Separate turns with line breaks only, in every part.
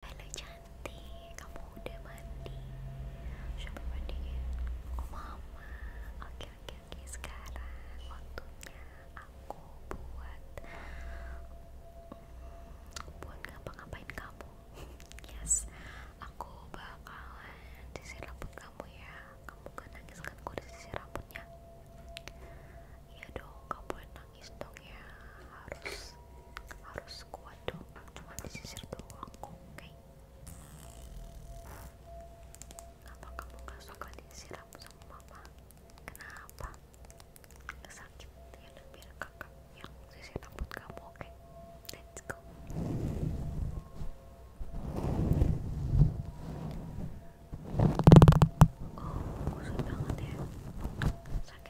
Halo cantik, kamu udah mandi? Coba mandi ya? mama, oke oke oke sekarang waktunya aku buat mm, buat ngapa-ngapain kamu yes, aku bakalan sisir rambut kamu ya kamu kan nangis kan aku udah sisir rambutnya iya dong, kamu boleh nangis dong ya. harus harus kuat dong cuma disisir doang oke okay. kamu gak suka disiram sama mama kenapa sakit ya udah biar kakak yang disiram rambut kamu oke let's go Oh, kusut banget ya. Sakit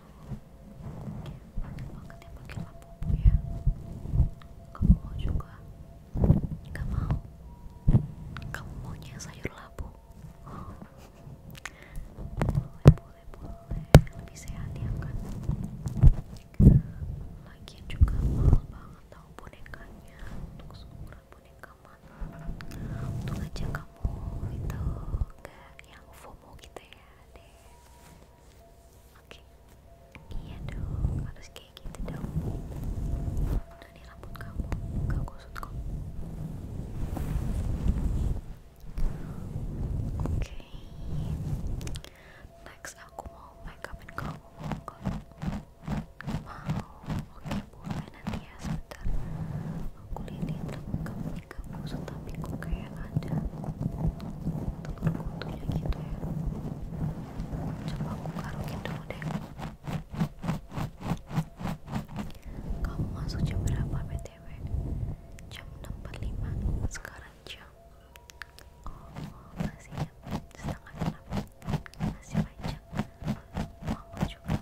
tuh gitu. banyak banget yang pakai labubu ya kamu mau juga? Kamu mau? kamu maunya sayur labu? Oh. boleh boleh boleh lebih sehat ya kan? Lagi juga mahal banget tau bonekanya untuk seumuran boneka mana untuk aja kamu itu gak yang FOMO kita gitu ya deh oke iya dong harus kayak gitu dong udah rambut kamu gak kusut kok oke next aku mau make upin kamu mau mau oke okay, nanti ya sebentar aku lihat lihat kamu ikan busuk tapi kok kayak ada telur kutunya gitu ya coba aku karokin dulu kamu masuk jam berapa btw? jam 6.45 sekarang jam oh masih
setengah 6 masih panjang mama juga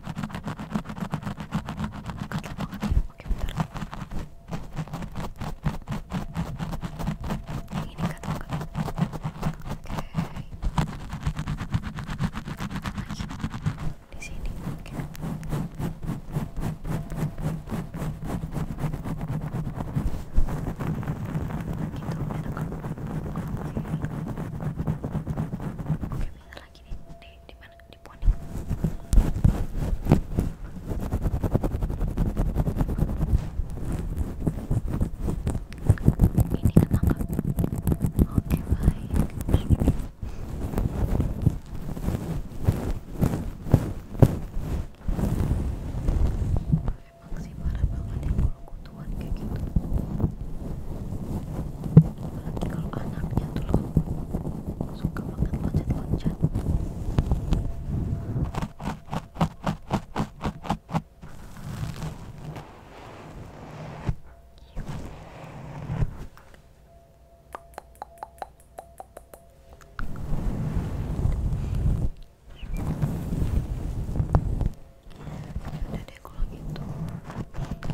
Gatel banget ya, oke bentar Yang ini Lagi di sini, oke Gitu, lagi di, di mana? di poni ini ketangkap oke baik emang sih parah kalau kutuan kayak gitu kalau anaknya tuh suka banget loncat-loncat udah kalau gitu aku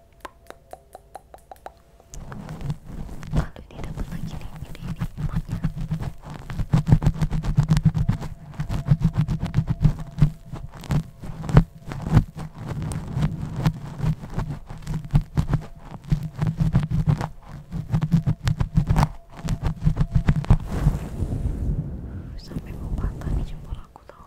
lalu ini dapat lagi nih sampai mau patah nih jempol aku tau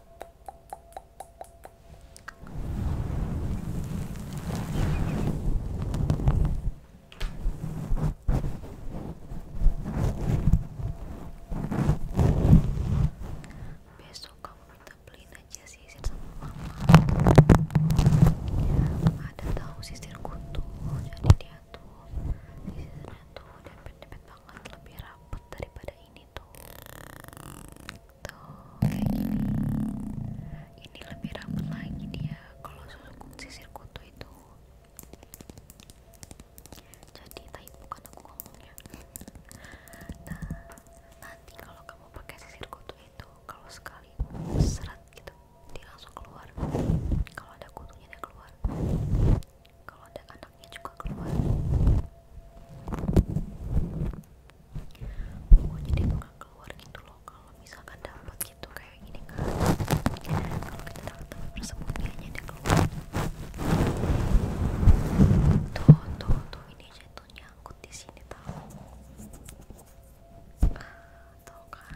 Besok
kamu minta aja sisir sama mama. Ada tahu sisir kutu, jadi dia tuh sisirnya tuh dempet-dempet banget, lebih rapet daripada ini tuh tuh kayak gini ini lebih ramai lagi dia kalau susuk sisir kutu itu jadi tadi bukan aku ngomongnya nah nanti kalau kamu pakai sisir kutu itu kalau sekali seret gitu dia langsung keluar kalau ada kutunya dia keluar kalau ada kan anaknya juga keluar pokoknya oh, dia bakal keluar gitu loh kalau misalkan dapat gitu kayak gini kan kalau kita dapat tempat persembunyiannya dia keluar tuh tuh tuh ini aja tuh di sini tahu tuh kan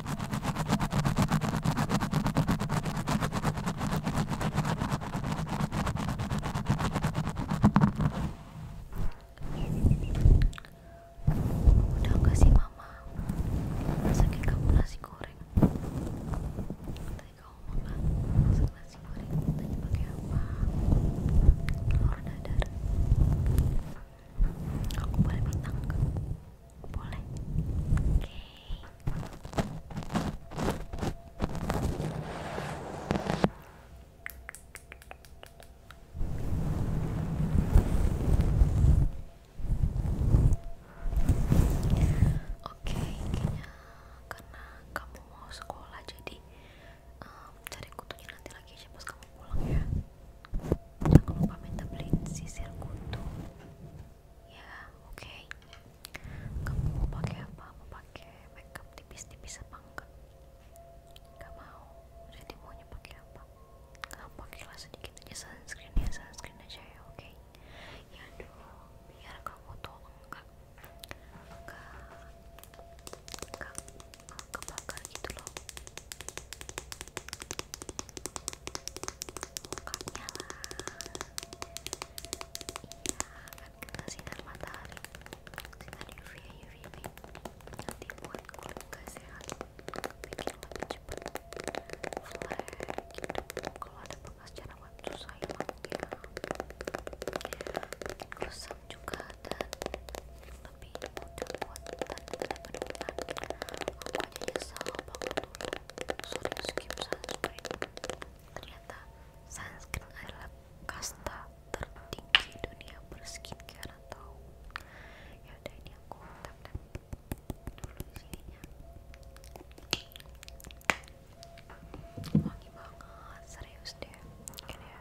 udah gak mama masakin kamu nasi goreng tadi kamu makan masak nasi goreng tadi pakai apa telur dadar aku boleh bintang boleh. Oke. Oke, kayaknya karena kamu mau sekolah jadi ehm, cari kutunya nanti lagi aja pas kamu pulang ya. Jangan lupa minta beliin sisir kutu ya oke okay. kamu mau pakai apa mau pakai makeup tipis-tipis apa enggak enggak mau jadi maunya pakai apa enggak pakai pakailah sedikit aja sunscreen ya sunscreen aja ya oke ya do biar kamu tolong enggak enggak enggak enggak kebakar gitu loh mukanya lah iya kan kena sinar matahari sinar nanti buat kulit gak sehat bikin lebih cepat flek gitu kalau ada bekas jerawat susah hilangnya ya, bikin kusam juga dan lebih mudah buat tangan daripada aku aja nyesel banget dulu suruh skip sunscreen ternyata sunscreen adalah kasta tertinggi dunia berskincare atau ya udah ini aku tap tap dulu sininya wangi banget serius deh ini ya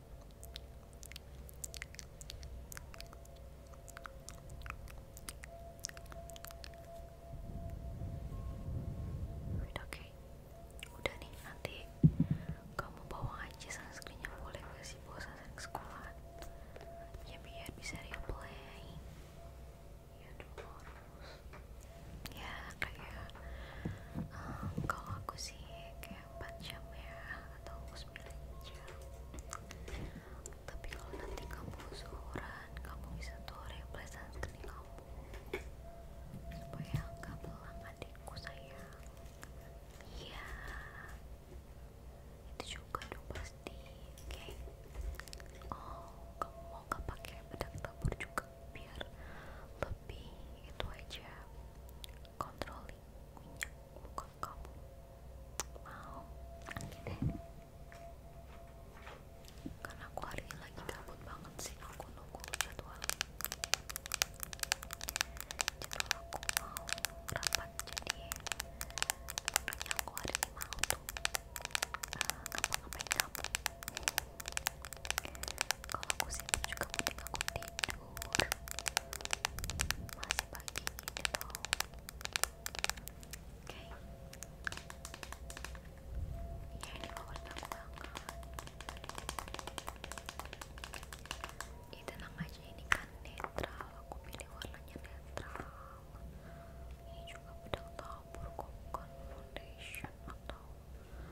udah nih nanti kamu bawa aja sunscreennya boleh gak sih bawa sunscreen ke sekolah ya biar bisa reapply ya dulu ya kayak um, kalau aku sih kayak 4 jam ya atau 9 jam tapi kalau nanti kamu usuran kamu bisa tuh replace sunscreen kamu supaya nggak belang adikku sayang iya itu juga dong pasti oke okay. oh kamu mau nggak pakai bedak tabur juga biar lebih itu aja controlling minyak muka kamu mau angin deh karena aku hari ini lagi gabut banget sih aku nunggu jadwal jadwal aku mau rapat jadi yang aku hari ini mau tuh uh, ngapa-ngapain kamu kalau aku sih juga mau mending aku tidur masih pagi gitu. iya, ini tau oke ini favorit aku banget ini tenang aja ini kan netral aku pilih warnanya netral ini juga pedang tahu kok foundation atau hmm,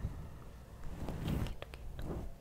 kayak gitu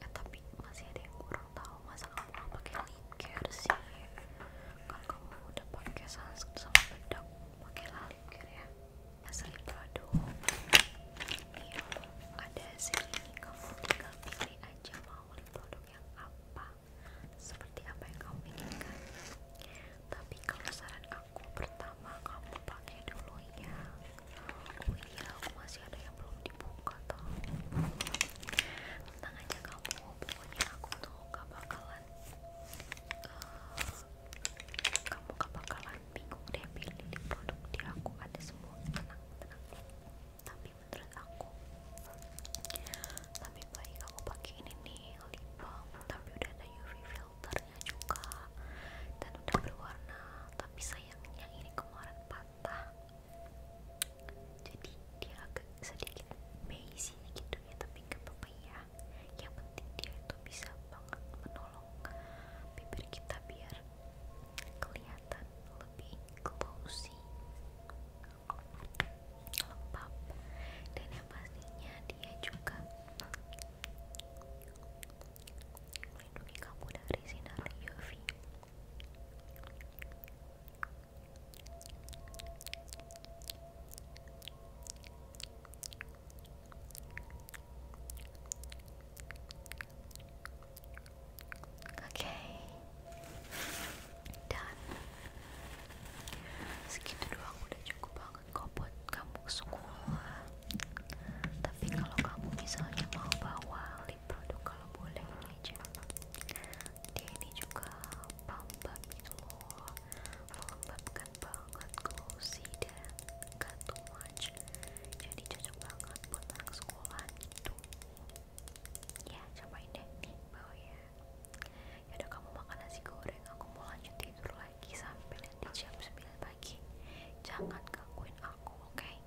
eh tapi masih ada yang kurang tahu masa kamu pakai lip care sih kan kamu udah pakai sunscreen sama bedak pakai lip care ya asli produk iya ada segini kamu tinggal pilih aja mau lip produk yang apa seperti apa yang kamu inginkan tapi kalau saran aku pertama kamu pakai dulu ya iya aku masih ada yang belum dibuka tau tenang aja kamu pokoknya aku tuh gak bakalan eh, kamu gak bakalan bingung deh pilih produk di aku ada semua tenang tenang tapi menurut aku lebih baik aku pakai ini nih lip tapi udah ada UV filternya juga dan udah berwarna tapi sayangnya ini kemarin patah jadi dia agak sedikit beige gitu ya tapi gak apa-apa ya yang penting dia itu bisa banget menolong bibir kita biar kelihatan lebih glossy lembab dan yang pastinya dia juga melindungi kamu dari sinar UV okay. dan segitu doang udah cukup banget kok buat kamu ke sekolah tapi kalau kamu misalnya mau bawa produk kalau boleh ini dia ini juga pelembab gitu loh kan banget glossy dan jadi cocok banget buat anak sekolah gitu ya cobain deh nih bawa ya yaudah kamu makan nasi goreng aku mau lanjut tidur lagi sampai nanti jam 9 pagi jangan gangguin aku oke